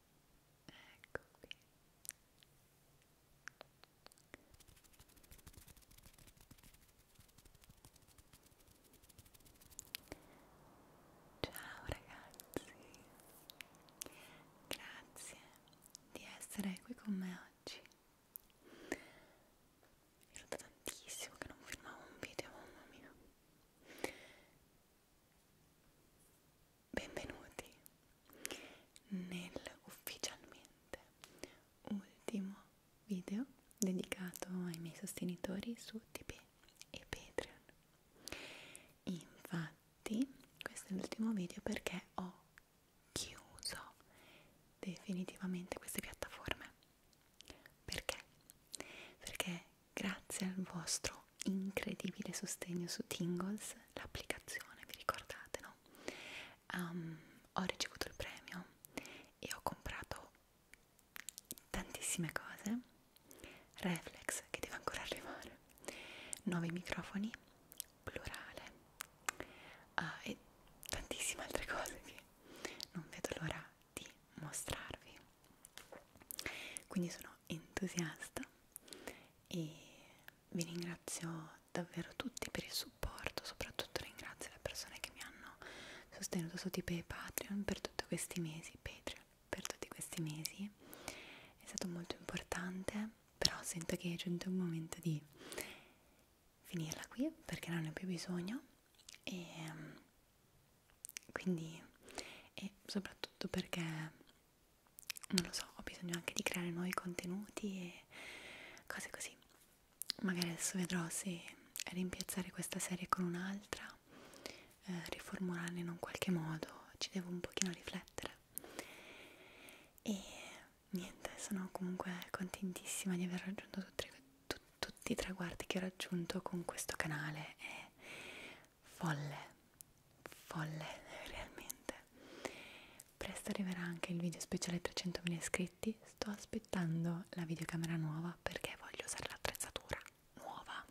ecco qui ciao ragazzi grazie di essere qui con me oggi mi è tantissimo che non filmavo un video mamma mia Benvenuti nel ufficialmente ultimo video dedicato ai miei sostenitori su Tipeee e Patreon. Infatti, questo è l'ultimo video perché ho chiuso definitivamente queste piattaforme. Perché? Perché Grazie al vostro incredibile sostegno su Tingles, l'applicazione, vi ricordate, no? Um, ho ricevuto il premio e ho comprato tantissime cose. Reflex che deve ancora arrivare, nuovi microfoni, plurale uh, e tantissime altre cose che non vedo l'ora di mostrarvi. Quindi sono entusiasta e vi ringrazio davvero tutti per il supporto, soprattutto ringrazio le persone che mi hanno sostenuto su Tipeee e Patreon per tutti questi mesi, Patreon per tutti questi mesi, è stato molto importante, però sento che è giunto il momento di finirla qui perché non ne ho più bisogno e mm, quindi e soprattutto perché non lo so, ho bisogno anche di creare nuovi contenuti e cose così. Magari adesso vedrò se rimpiazzare questa serie con un'altra, eh, riformularla in un qualche modo, ci devo un pochino riflettere. E niente, sono comunque contentissima di aver raggiunto tutti, tu, tutti i traguardi che ho raggiunto con questo canale e folle, folle realmente. Presto arriverà anche il video speciale 300.000 iscritti, sto aspettando la videocamera nuova perché voglio usare l'attrezzatura nuova,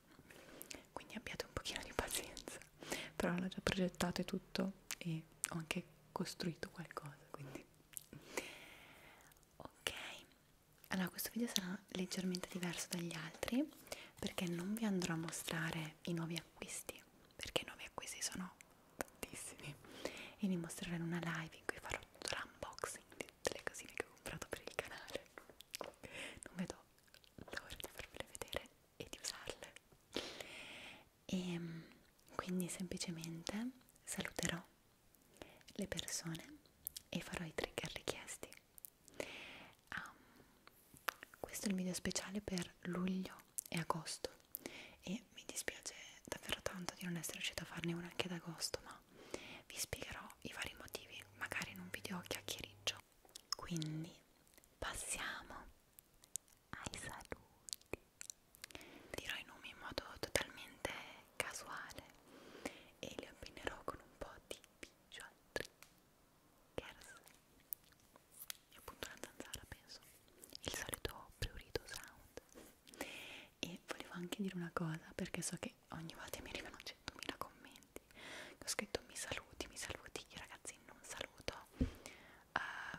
quindi abbiate un pochino di pazienza, però l'ho già progettato e tutto e ho anche costruito qualcosa, quindi ok. Allora, questo video sarà leggermente diverso dagli altri perché non vi andrò a mostrare i nuovi acquisti perché i nuovi acquisti sono tantissimi e li mostrerò in una live in cui farò tutto l'unboxing di tutte le cosine che ho comprato per il canale non vedo l'ora di farvele vedere e di usarle e ehm, quindi semplicemente saluterò le persone e farò i trigger richiesti Um, questo è il video speciale per luglio e agosto e mi dispiace davvero tanto di non essere riuscita a farne uno anche ad agosto, ma vi spiegherò i vari motivi, magari in un video chiacchiericcio. Quindi passiamo ai saluti. Dirò i nomi in modo totalmente casuale e li appenderò con un po' di visual trick. Kers e appunto una zanzara penso il solito prurito sound e volevo anche dire una cosa perché so che ogni volta mi arrivano 100.000 commenti ho scritto mi saluti, mi saluti, io ragazzi non saluto uh,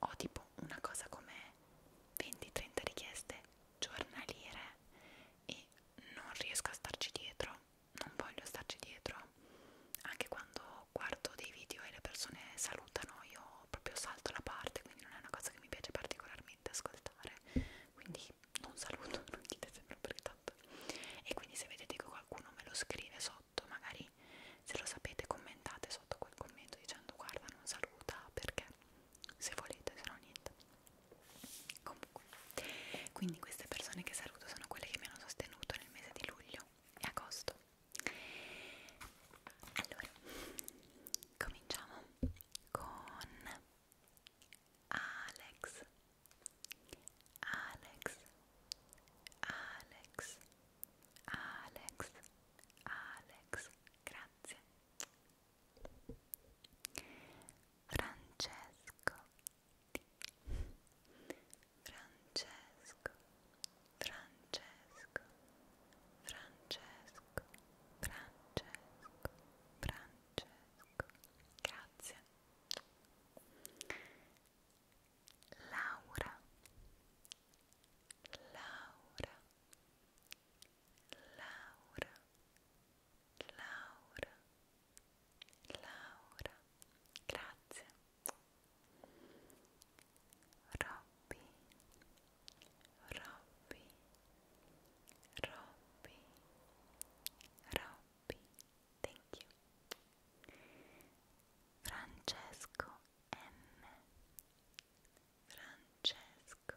ho tipo una cosa come 20-30 richieste giornaliere e non riesco a starci dietro non voglio starci dietro anche quando guardo dei video e le persone salutano io proprio salto la parte quindi non è una cosa che mi piace particolarmente ascoltare quindi non saluto non dite sempre perché tanto e quindi se vedete che qualcuno me lo scrive sotto magari se lo sapete commentate sotto quel commento dicendo guarda non saluta perché se volete se no niente comunque quindi queste persone che saluto sono quelle che mi hanno sostenuto nel mese di luglio e agosto. Allora, cominciamo con Alex. Alex. Alex. Alex. Alex. Grazie. Francesco. Francesco, Francesco, Francesco, Francesco, Francesco. Grazie. Laura, Laura, Laura, Laura. Laura, Laura, grazie. Robby, Robby, Robby, Robby, thank you. Francesco M. Francesco, Francesco,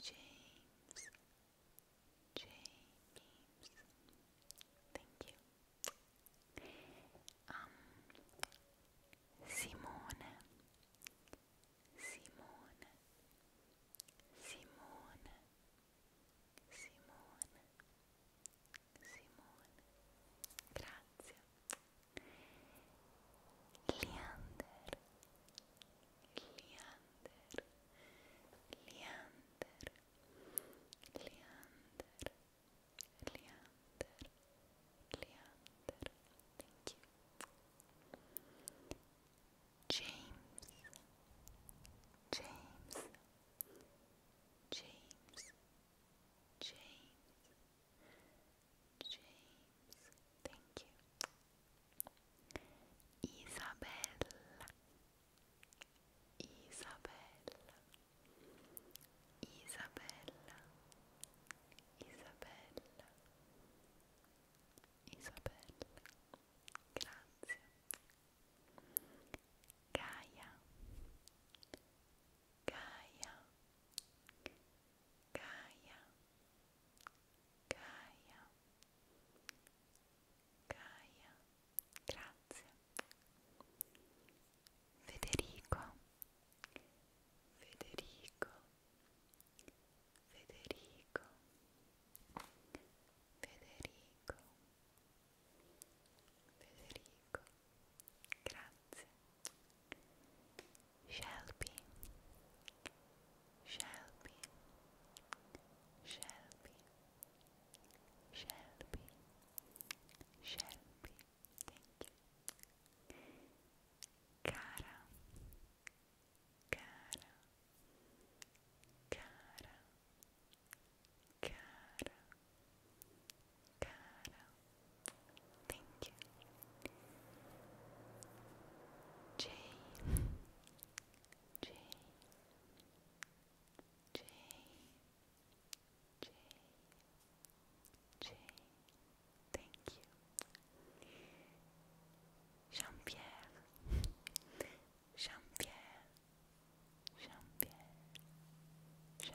James, James, thank you. Um, Simone, Simone, Simone, Simone, Simone, grazie. Leander, Leander, Leander, Leander, Leander, Leander. Thank you. James, James, James, James, James, thank you. Isabella, Isabella, Isabella, Isabella, Isabella, grazie. Gaia, Gaia, Gaia, Gaia, Gaia, Gaia, grazie. Federico, Federico, Federico, Federico, Federico, grazie. shall be, shall be, shall be, shall be, shall be. Thank you. Cara, cara, cara, cara, cara. Thank you. J J J J J Thank you Jean-Pierre Jean-Pierre jean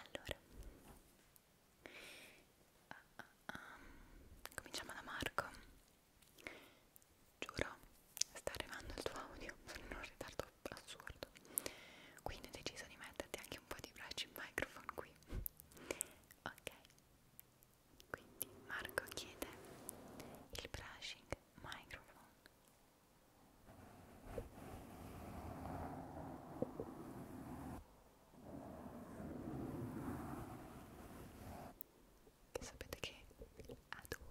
allora uh, uh, um, cominciamo da Marco giuro sta arrivando il tuo audio sono in un ritardo assurdo quindi ho deciso di metterti anche un po' di braccio in microfono qui ok quindi Marco chiede il brushing microphone che sapete che adoro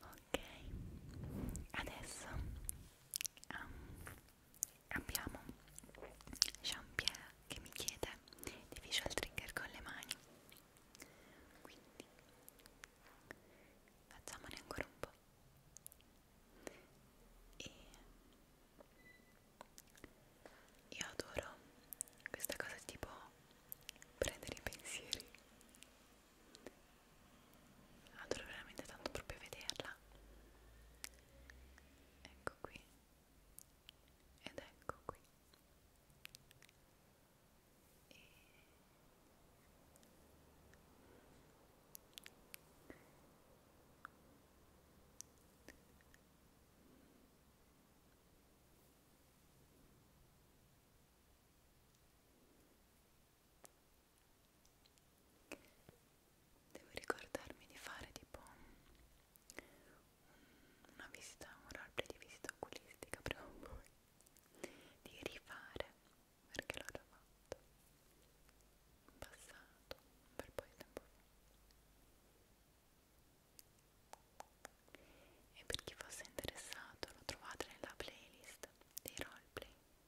ok adesso um, abbiamo Jean-Pierre che mi chiede di visual trigger con le mani quindi facciamone ancora un po' e io adoro questa cosa tipo prendere i pensieri adoro veramente tanto proprio vederla ecco qui ed ecco qui e... Devo ricordarmi di fare tipo un, una visita, un roleplay di visita oculistica prima o poi di rifare perché l'ho già fatto in passato, un bel po' di tempo fa e per chi fosse interessato lo trovate nella playlist dei roleplay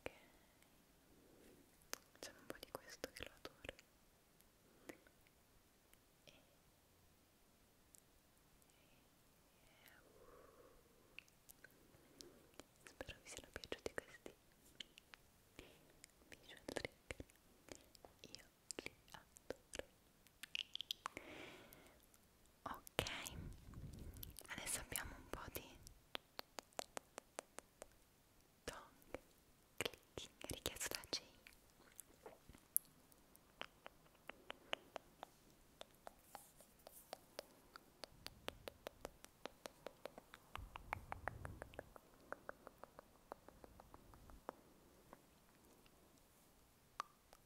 ok c'è un po' di questo che lo adoro e, e, uh. spero vi siano piaciuti questi visual trick io li adoro ok adesso abbiamo un po' di tong clicking richiesto da Jay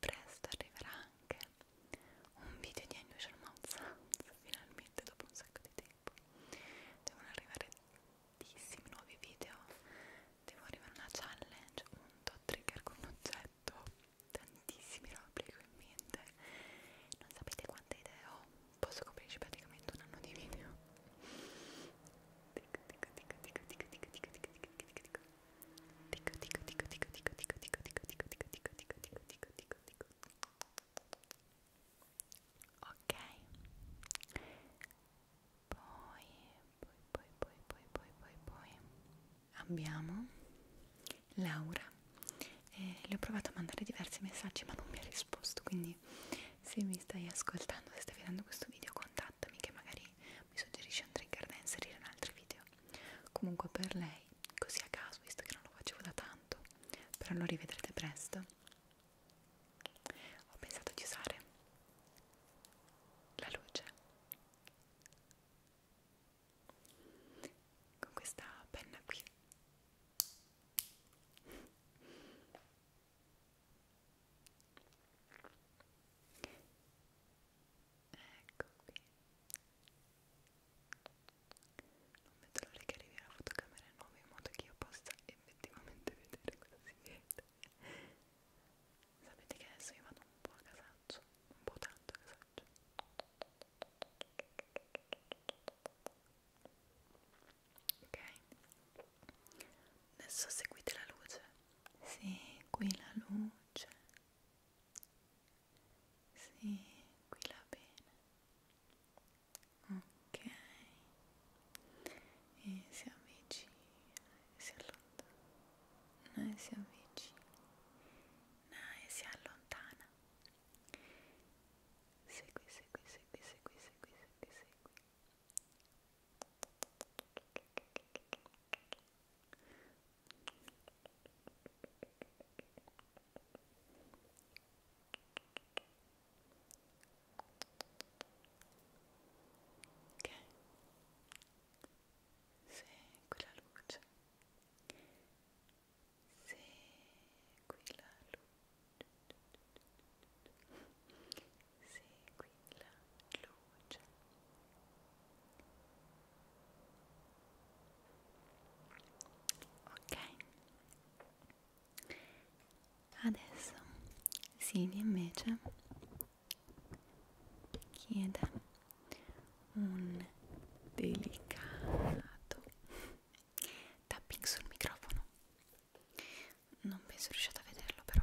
presto arriverà anche un video di Unusual Mouth Sounds finalmente dopo un sacco di tempo devono arrivare tantissimi nuovi video devo arrivare una challenge un dot trigger con un oggetto tantissimi robe che ho in mente non sapete quante idee ho posso coprirci praticamente un anno di video dico dico dico dico dico dico dico dico dico dico dico dico dico dico dico dico dico dico dico dico dico dico dico dico dico dico dico dico ok poi poi poi poi poi poi poi poi abbiamo Laura eh, le ho provato a mandare diversi messaggi ma non mi ha risposto quindi se mi stai ascoltando se stai vedendo questo video conta contattami che magari mi suggerisci un trigger da inserire in altri video comunque per lei così a caso visto che non lo facevo da tanto però lo rivedrete presto ho pensato di usare la luce con questa penna qui ecco qui non vedo l'ora che arrivi alla fotocamera nuova in modo che io possa effettivamente vedere cosa si vede sapete che adesso io vado un po' a casaccio un po' tanto a casaccio ok adesso seguite la luce sì, qui la luce voce sì, qui la bene ok e si avvicina e si allontana e eh, si avvicina e eh, si allontana segui, segui, segui, segui, segui, segui, segui Ok, segui la luce, segui la luce, segui tranquilla luce ok adesso Silvia invece chiede un delicato tapping sul microfono non penso riusciate a vederlo però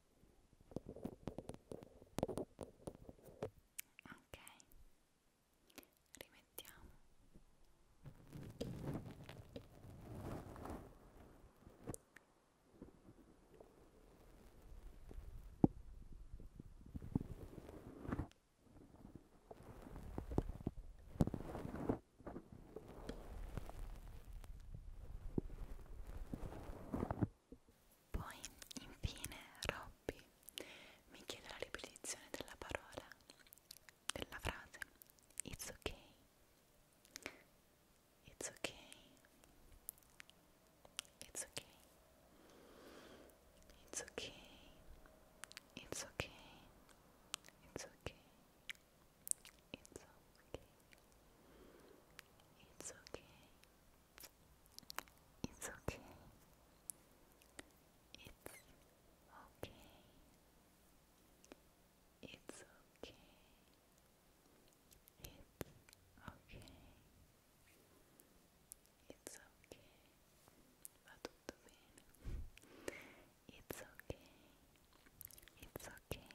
ok rimettiamo ok poi, infine, Robby mi chiede la ripetizione della parola, della frase It's okay, it's okay, it's okay, it's okay, it's okay, it's okay, it's okay, it's okay. It's okay. It's okay. It's okay. It's okay. It's okay. It's okay. It's okay. It's okay.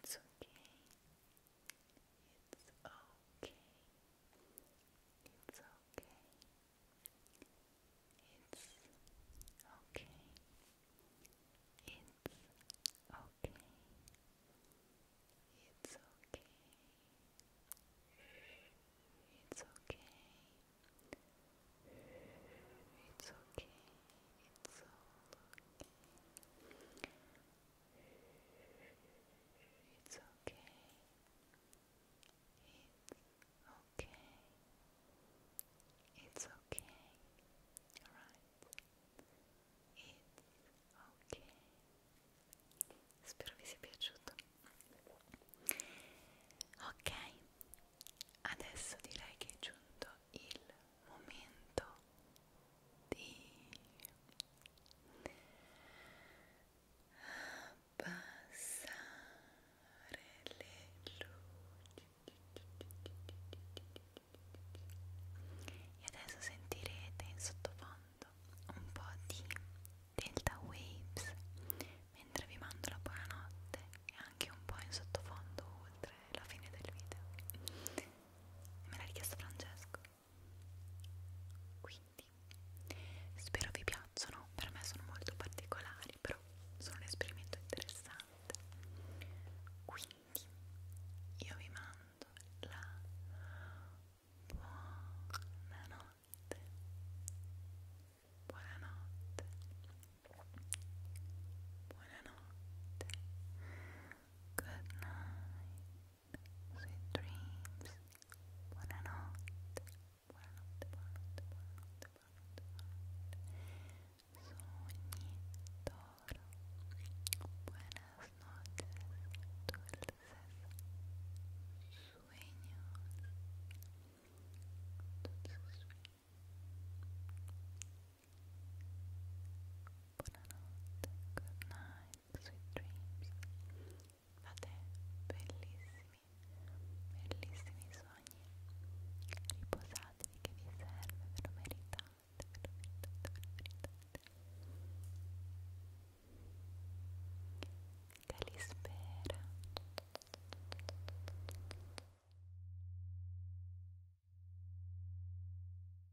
It's okay. It's okay. It's okay. It's okay. It's okay. It's okay. It's okay. It's okay. It's okay. It's okay. It's okay. It's okay. Alright. It's okay. Spero vi sia piaciuto. Ok, adesso direi che è giunto il momento di abbassare le luci e adesso sentirete in sottofondo un po' di delta waves mentre vi mando la buonanotte e anche un po' in sottofondo oltre la fine del video me l'ha richiesto Francesco quindi spero vi piacciono per me sono molto particolari però sono un esperimento interessante quindi io vi mando la buonanotte buonanotte buonanotte good night Sweet dreams. Buenas noches, Dulces sueños. Buonanotte, good night, sweet dreams. Fate bellissimi, bellissimi sogni. Riposatevi che vi serve, ve lo meritate, Calispera.